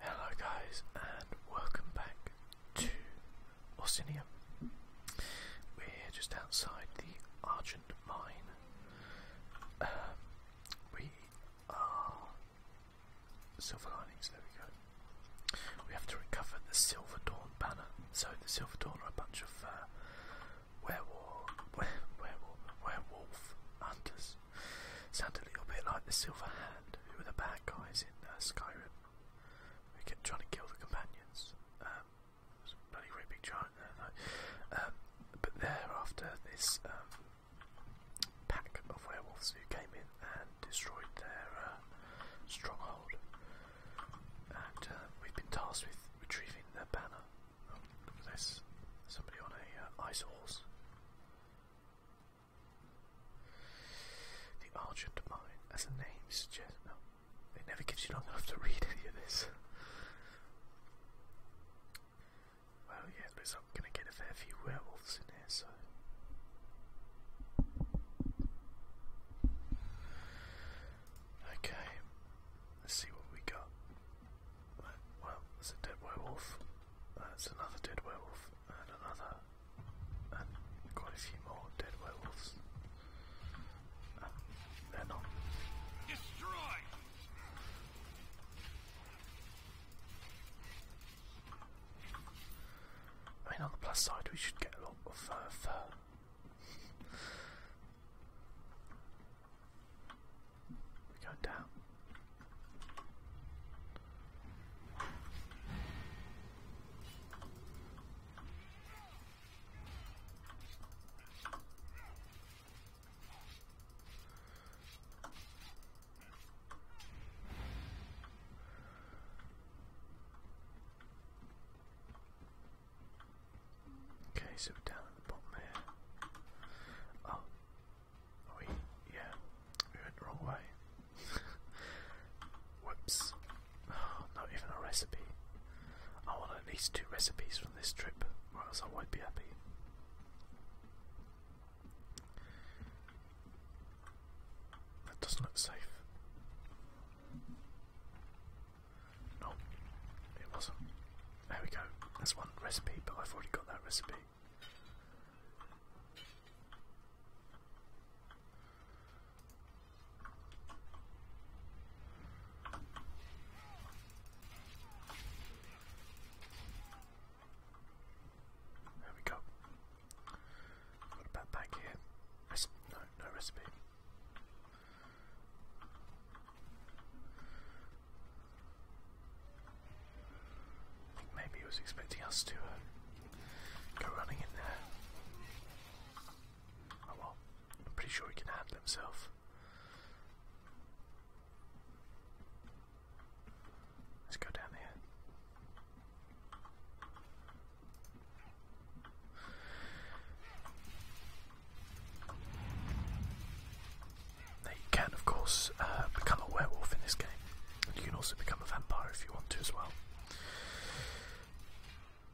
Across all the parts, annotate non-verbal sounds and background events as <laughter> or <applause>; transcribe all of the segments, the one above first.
Hello guys and welcome back to Orsinium. We're just outside the Argent Mine. Um, we are... Silver Linings, there we go. We have to recover the Silver Dawn banner. So the Silver Dawn are a bunch of uh, werewolf <laughs> hunters Sounds sound a little bit like the Silver Hand, who were the bad guys in uh, Skyrim. We kept trying to kill the companions. Um, a bloody great big giant there, um, but thereafter, this um, pack of werewolves who came in and destroyed their uh, stronghold, and uh, we've been tasked with retrieving their banner. Oh, this! Somebody on a ice horse. The Argent Mine, as the name suggests. No, it never gives you long enough to read any of this. Well, yeah, it looks going to get a fair few werewolves in here, so. Okay, let's see what we got well, there's a dead werewolf, that's uh, another dead werewolf, and another, and quite a few more dead werewolves. Uh, they Destroy! I mean, on the plus side, we should get a lot of uh, fur. We go down. Okay, so down at the bottom here. Oh, Oh yeah, we went the wrong way. <laughs> Whoops. Oh, not even a recipe. I want at least two recipes from this trip, or else I won't be happy. That doesn't look safe. No, it wasn't. There we go. That's one recipe, but I've already got that recipe. There we go. What about back here? no, no recipe. Maybe he was expecting us to uh, go running in there. Oh well, I'm pretty sure he can handle himself. Let's go down here you can of course uh, become a werewolf in this game. you can also become a vampire if you want to as well.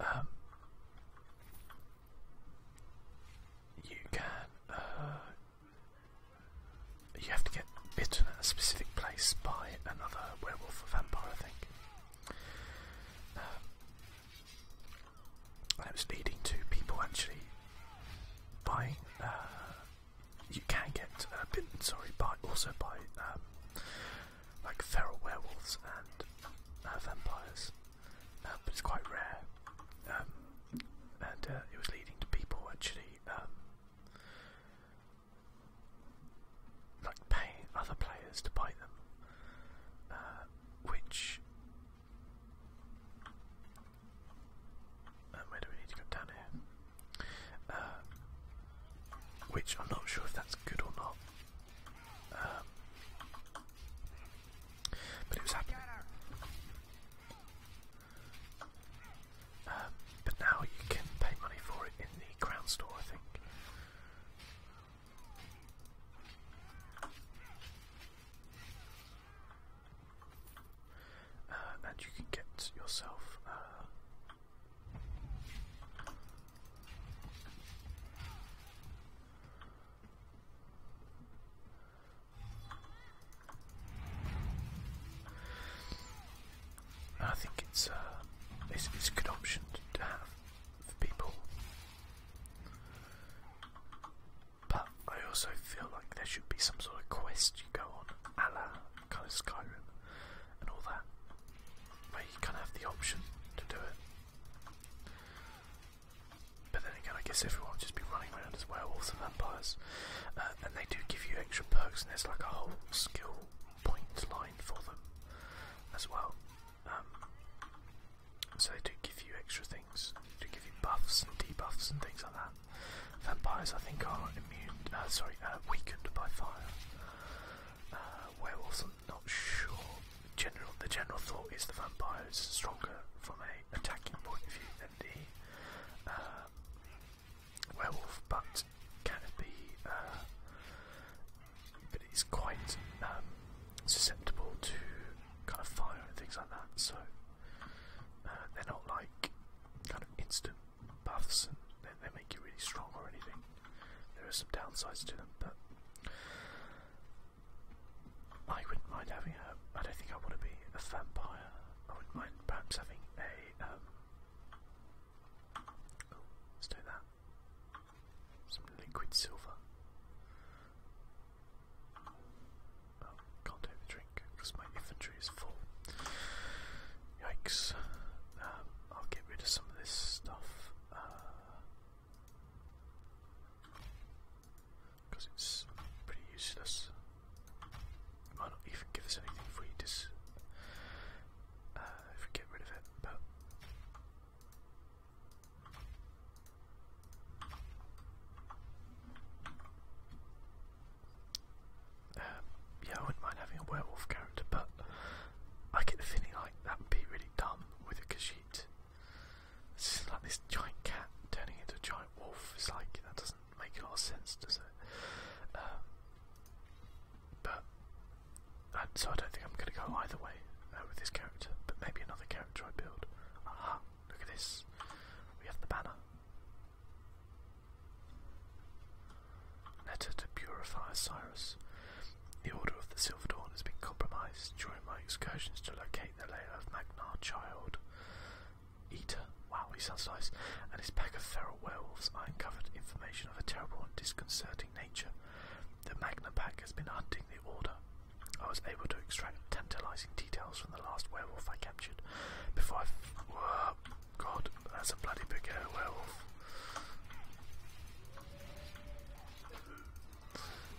Um, you can. Uh, you have to get bitten at a specific place by another werewolf or vampire, I think. Uh, and uh, um, um, uh, it was leading to people actually buying. Um, you can get uh, bitten, sorry, by also by like feral werewolves and vampires, but it's quite rare. and it was leading to people actually like paying other players to buy them, uh, which um, where do we need to go down here? Uh, which I'm not sure if that's good or not. Um, but it was happening. Um, but now you can pay money for it in the ground store, I think. Uh, and you can get yourself uh, I think it's, uh, it's it's a good option to have for people. But I also feel like there should be some sort of quest you go on, a kind of Skyrim and all that, where you kind of have the option to do it. But then again, I guess everyone would just be running around as werewolves and vampires, uh, and they do give you extra perks, and there's like a whole skill point line for them as well. Um, so they do give you extra things things, to give you buffs and debuffs and things like that. Vampires, I think, are immune. Uh, sorry, uh, weakened by fire. Uh, werewolves, I'm not sure. General, the general thought is the vampire is stronger from a attacking point of view than the werewolf, but can be. but it's quite um, susceptible to kind of fire and things like that. So uh, they're not like kind of instant buffs and they, they make you really strong or anything. There are some downsides to them, but I wouldn't mind having a. I don't think I want to be a vampire. I wouldn't mind perhaps having a. Um, oh, let's do that. Some liquid silver. Oh, can't drink because my inventory is full. Yikes. Um, I'll get rid of some of this stuff. Because uh, it's pretty useless. might not even give us anything if we, dis uh, if we get rid of it, uh, yeah, I wouldn't mind having a werewolf character, but I get the feeling like that would be really dumb with a kashit. It's like this giant cat turning into a giant wolf. It's like, that doesn't make a lot of sense, does it? Um, but, uh, so I don't think I'm going to go either way uh, with this character, but maybe another character enjoy build. look at this. We have the banner. Letter to purify Osiris. The Order of the Silver Dawn has been compromised during my excursions to locate the lair of Magnar Child Eater. Wow, he sounds nice. And his pack of feral werewolves. I uncovered information of a terrible and disconcerting nature. The Magna Pack has been hunting the Order I was able to extract tantalizing details from the last werewolf I captured before I. Whoa, God, that's a bloody big werewolf.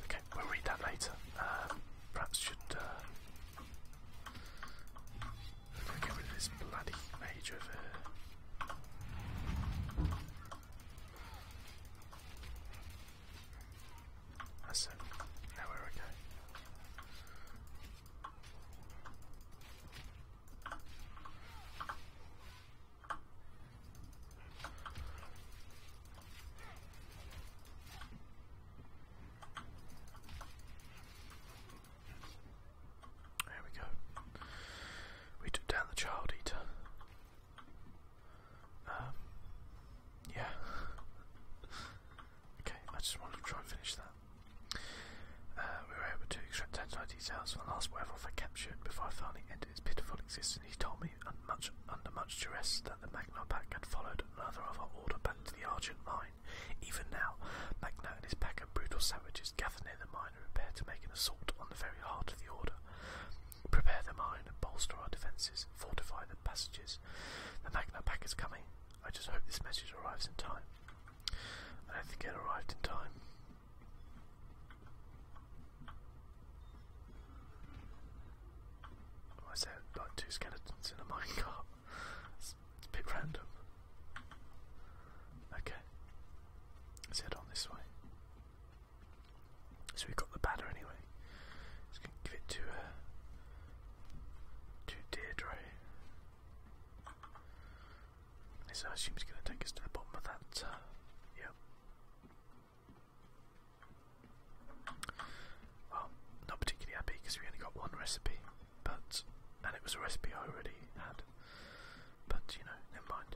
Okay, we'll read that later. Um, perhaps should. Uh, get rid of this bloody mage over that's it. Now we go. There we go. We took down the child eater yeah. okay, I just wanted to try and finish that. Uh, we were able to extract tantalized details from the last wave I captured before I finally ended its pitiful existence. He told me, under much duress, that the Magna Pack had followed another of our order back to the Argent Mine. Even now, Magna and his pack of brutal savages gather near the mine and prepare to make an assault on the very heart of the order. Prepare the mine, bolster our defences, fortify the passages. The Magna Pack is coming. I just hope this message arrives in time. I don't think it arrived in time. I said like two skeletons in a <laughs> minecart. it's a bit random. Okay. Let's head on this way. So we've got the batter anyway. Just going give it to uh, to Deirdre. So I assume he's gonna take us to the bottom of that. Uh, yep. Well, not particularly happy because we only got one recipe, but and it was a recipe I already had. But you know, never mind.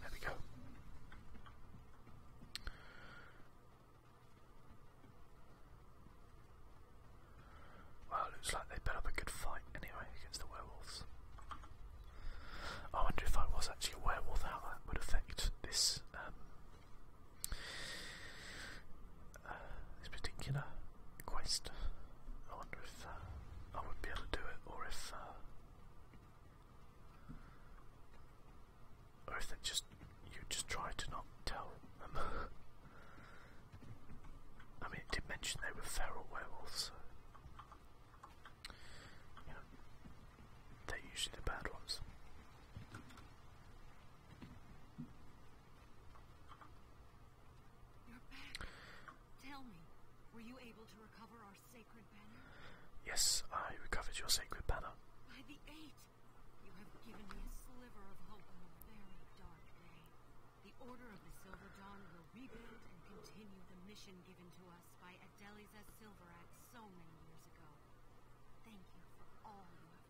There we go. Well, looks like they put up a good fight anyway against the werewolves. I wonder if I was actually a werewolf, how that would affect this um, <sighs> this particular quest. I wonder if uh, I would be able to do it, or if, uh, or if they just you just try to not tell them. <laughs> I mean, did mention they were feral werewolves. So. they're usually the bad ones. You're back. Tell me, were you able to recover our sacred banner? Yes, I recovered your sacred banner. By the eight, you have given me a sliver of hope on a very dark day. The Order of the Silver Dawn will rebuild and continue the mission given to us by Adeliza Silverax so many years ago. Thank you for all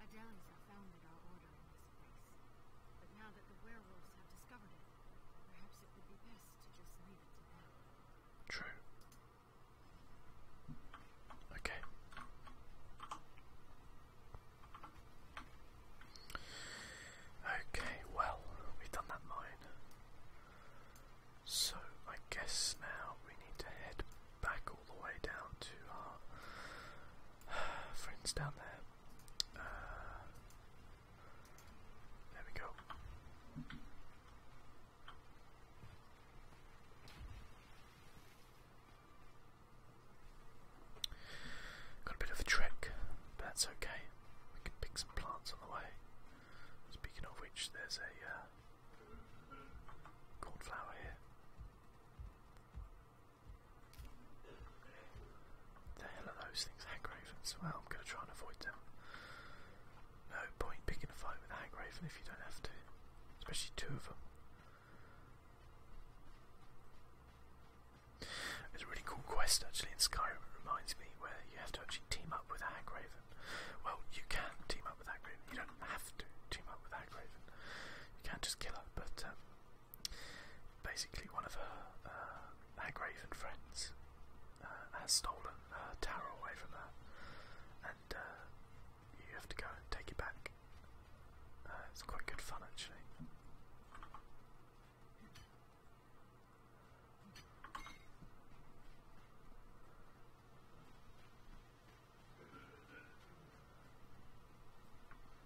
Adelies founded our order in this place, but now that the werewolves have discovered it, perhaps it would be best to just leave it to True. Okay. Okay, well, we've done that mine. So I guess now we need to head back all the way down to our <sighs> friends down there. Uh, there we go. Got a bit of a trek, but that's okay. We can pick some plants on the way. Speaking of which, there's a uh, Cornflower here. The hell are those things? Hagravens? Well, I'm going to try and avoid them. No point picking a fight with a Hagraven if you don't have to. Especially two of them. It's a really cool quest actually in Skyrim, it reminds me, where you have to actually team up with a Hagraven. Well, you can team up with Agraven. You don't have to team up with Agraven. You can just kill her, but um, basically one of her uh, Agraven friends uh, has stolen her tower away from her, and uh, you have to go and take it back. Uh, it's quite good fun, actually.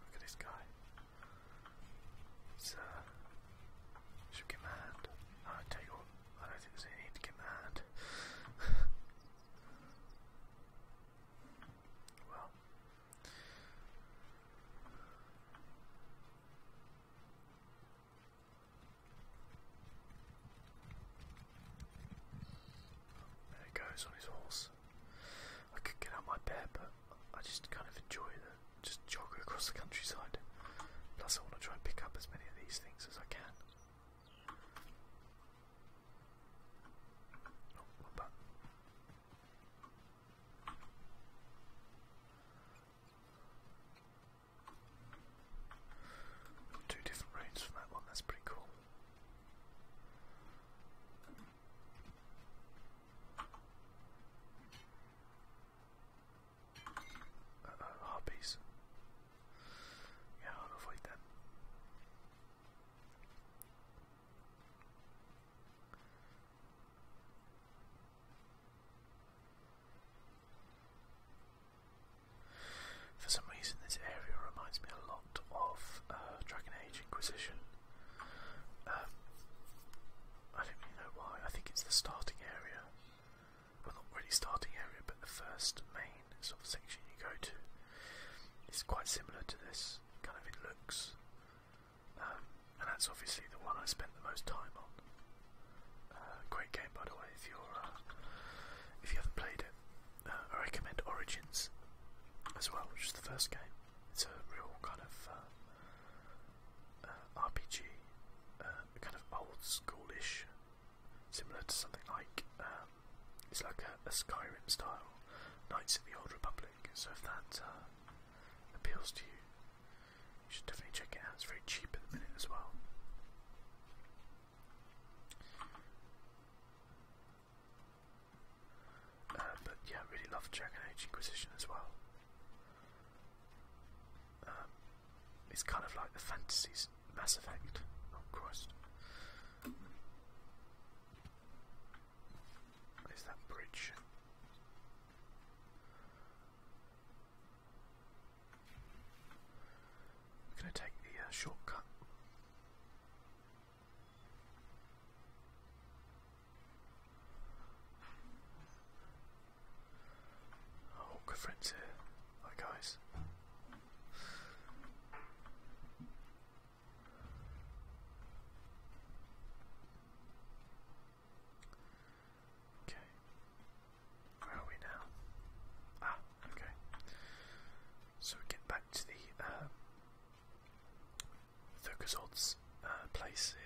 Look at this guy. He's, uh, should get I tell you what, I don't think there's need to get <laughs> well. There he goes on his horse. I could get out my bear, but I just kind of enjoy the just jog across the countryside. Plus, I want to try and pick up as many of these things as I can. Oh, Two different routes from that one, that's pretty cool. Uh oh, harpies. Yeah, I'll avoid them. For some reason, this area reminds me a lot of uh, Dragon Age Inquisition. Um, I don't really know why. I think it's the starting area. Well, not really starting area, but the first main sort of section you go to. It's quite similar to this. Kind of it looks, um, and that's obviously the one I spent the most time on. Uh, great game, by the way. If you're uh, if you haven't played it, uh, I recommend Origins as well, which is the first game. It's a real kind of uh, uh, RPG, uh, kind of old schoolish, similar to something like um, it's like a, a Skyrim style Knights of the Old Republic. So if that uh, appeals to you, you should definitely check it out. It's very cheap at the minute as well. Uh, but yeah, really love Dragon Age Inquisition as well. Um, it's kind of like the fantasies Mass Effect. Oh Christ! There's that bridge. We're going to take the uh, shortcut. Oh, good friends here. Hi, guys. Okay. Where are we now? Ah, okay. So we get back to the uh, Thurkazod's uh, place here.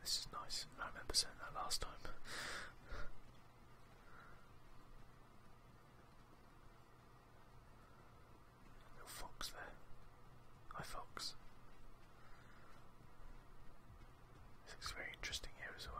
This is nice. I remember saying that last time. Little fox there. Hi Fox. looks very interesting here as well.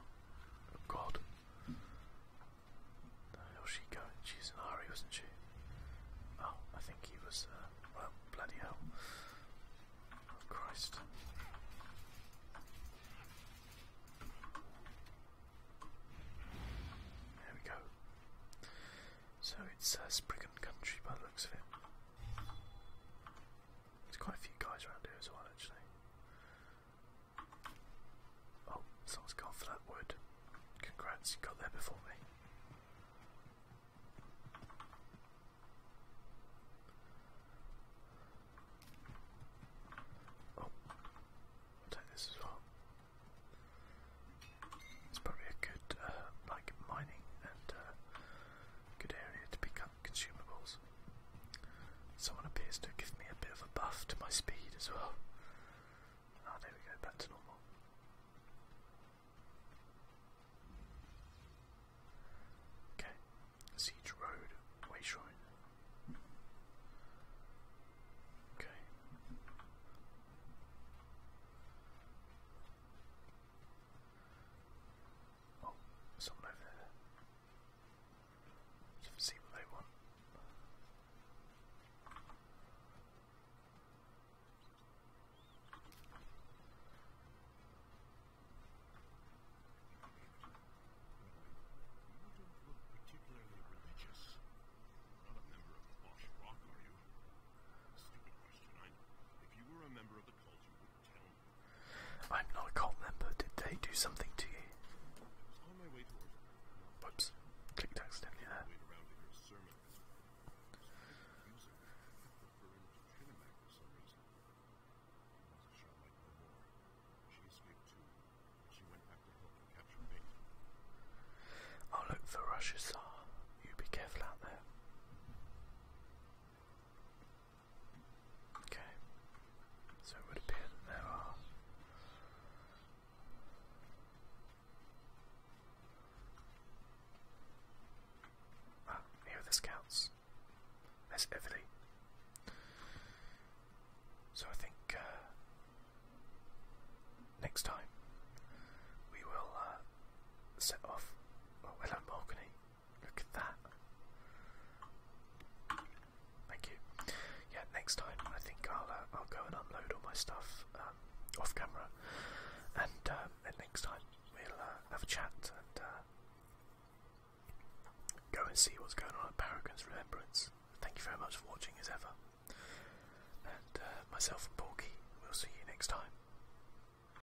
Oh, god. The hell's she going? She's in hurry, wasn't she? Oh, I think he was, uh, well, bloody hell. Oh, Christ. There we go. So it's a uh, Spriggan country by the looks of it. There's quite a few guys around here as well, actually. Oh, someone's gone for that wood. Congrats, you got there before me. Oh, take this as well. It's probably a good, uh, like, mining and uh, Good area to pick up consumables. Someone appears to give me a bit of a buff to my speed as well. Ah, there we go, back to normal. Okay, Siege Road, Way Shrine. Okay. Oh, see what they want. You don't look particularly religious. a member of the Rock, are you? Stupid question, If you were a member of the cult, I'm not a cult member. Did they do something to you? Whoops. Clicked accidentally there. Oh look, for Russia Tsar. You be careful out there. Okay, so it would appear that there are Ah, here the scouts. There's Everly. So I think uh, next time we will uh, set off. Oh, hello, Morgany. Look at that. Thank you. Yeah, next time I think I'll uh, I'll go and unload all my stuff um, off camera, and um, next time we'll uh, have a chat and uh, go and see what's going on at Paragon's Remembrance. Thank you very much for watching as ever, and myself and Porky. We'll see you next time.